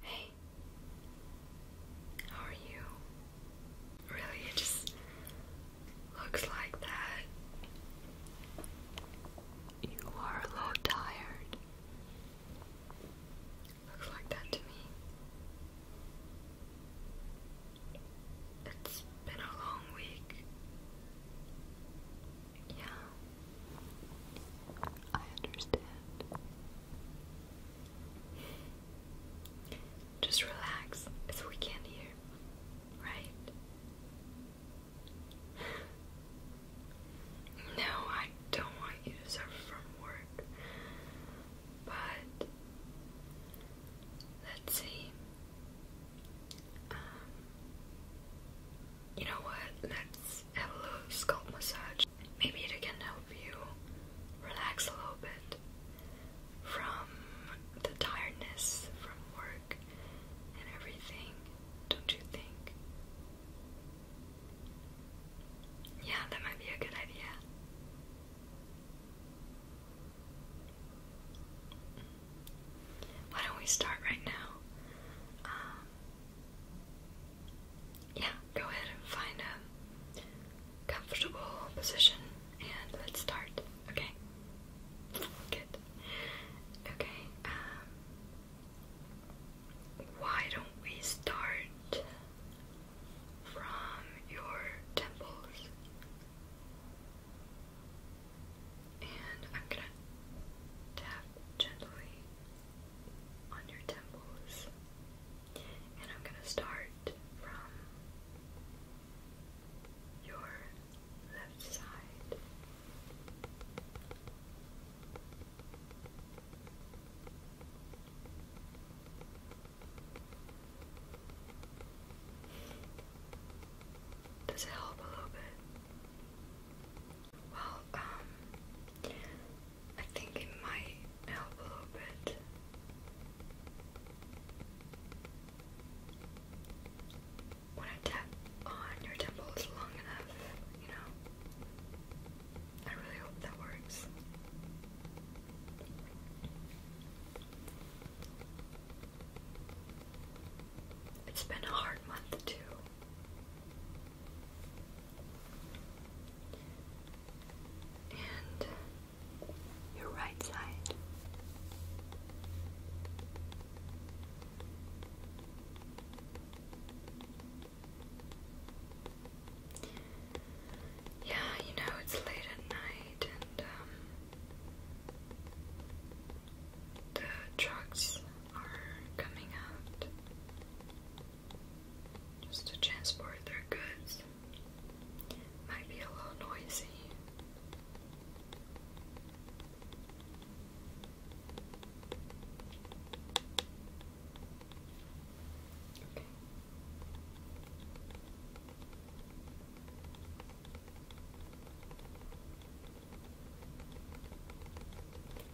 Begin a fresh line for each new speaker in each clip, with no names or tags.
Hey, how are you? Really, it just looks like that. You are a little tired. Looks like that to me. It's been a long week. Yeah. I understand. Just relax. It's a weekend here, right? No, I don't want you to suffer from work. But let's see. Um, you know what, let's have a little scalp massage. Maybe it can help you relax a little bit from the tiredness from work and everything, don't you think? Yeah, that might be a good idea. Why don't we start right now? Um, yeah, go ahead and find a comfortable position and let's start. Okay. Good. Okay. Um, why don't we start from your temples? And I'm gonna tap gently on your temples. And I'm going to start from your left side. Does it help a little bit? Well, um, I think it might help a little bit. When I tap on your temples long enough, you know. I really hope that works. It's been a hard month too and your right side. Yeah, you know, it's late at night and um, the trucks are coming out just to transport their goods. Might be a little noisy.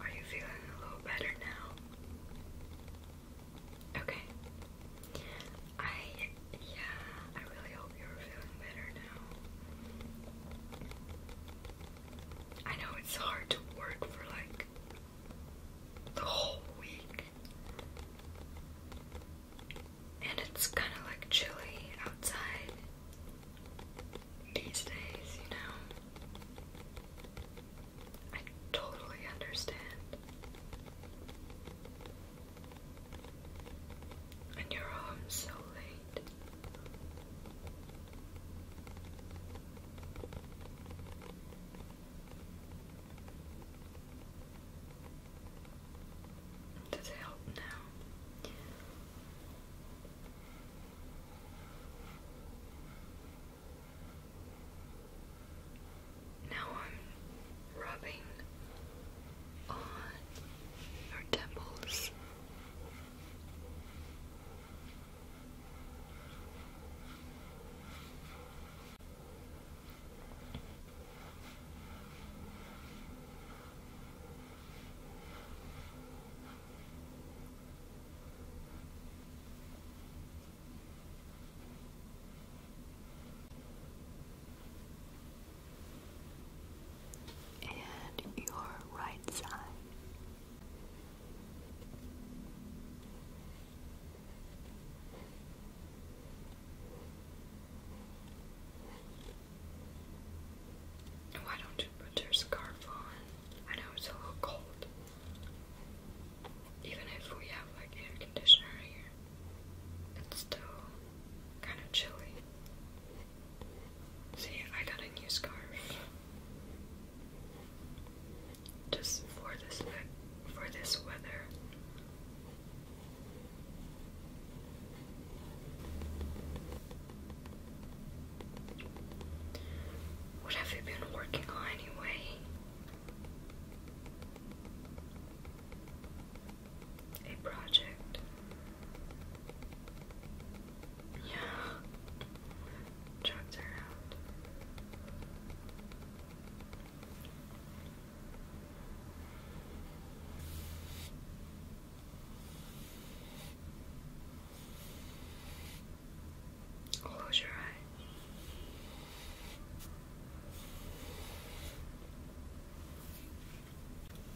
Are you feeling a little better now? Okay. I, yeah, I really hope you're feeling better now. I know it's hard to work for like the whole week. And it's kind of like chilly outside these days, you know? I totally understand. And you're home so late. Does it help now? Now I'm rubbing on your temples and your right side. Why don't you put your scarf on? I know it's a little cold even if we have like air conditioner here, it's still kind of chilly. See, I got a new scarf just for this for this weather. What have you been working on anyway? A project. Yeah. Drugs out. Close your eyes.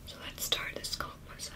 So let's start the scalp massage.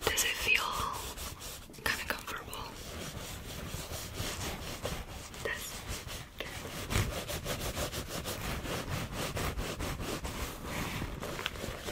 Does it feel kind of comfortable? This.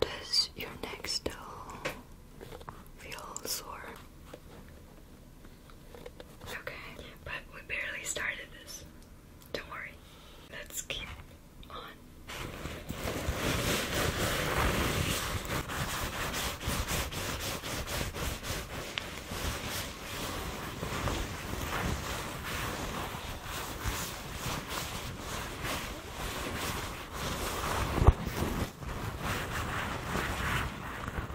Does your neck still feel sore? Okay, but we barely started this. Don't worry. Let's keep on.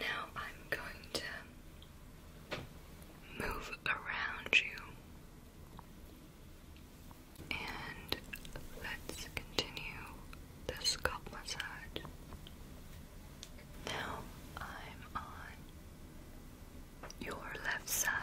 Now I'm going to move around you. And let's continue the scalp massage. Now I'm on your left side.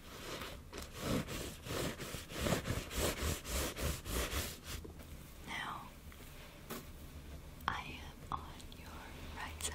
Now I am on your right side.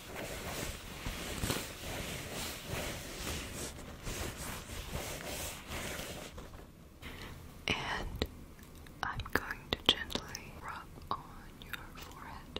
And I'm going to gently rub on your forehead.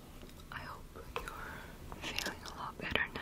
I hope you're feeling a lot better now.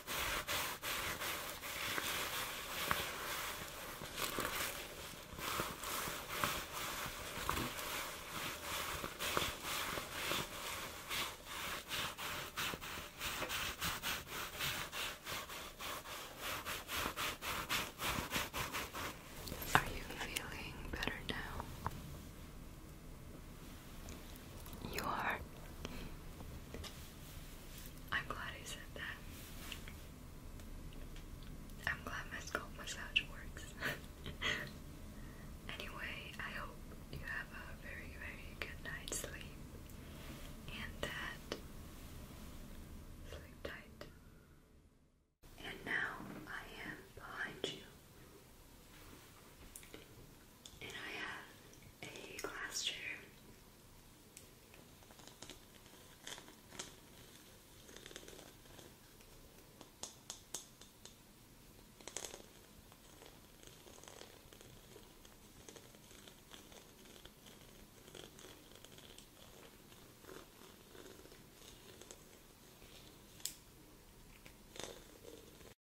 Are you feeling better now? You are. I'm glad I said that. I'm glad my scalp massage works. anyway, I hope you have a very, very good night's sleep and that sleep tight. And now I am behind you and I have a glass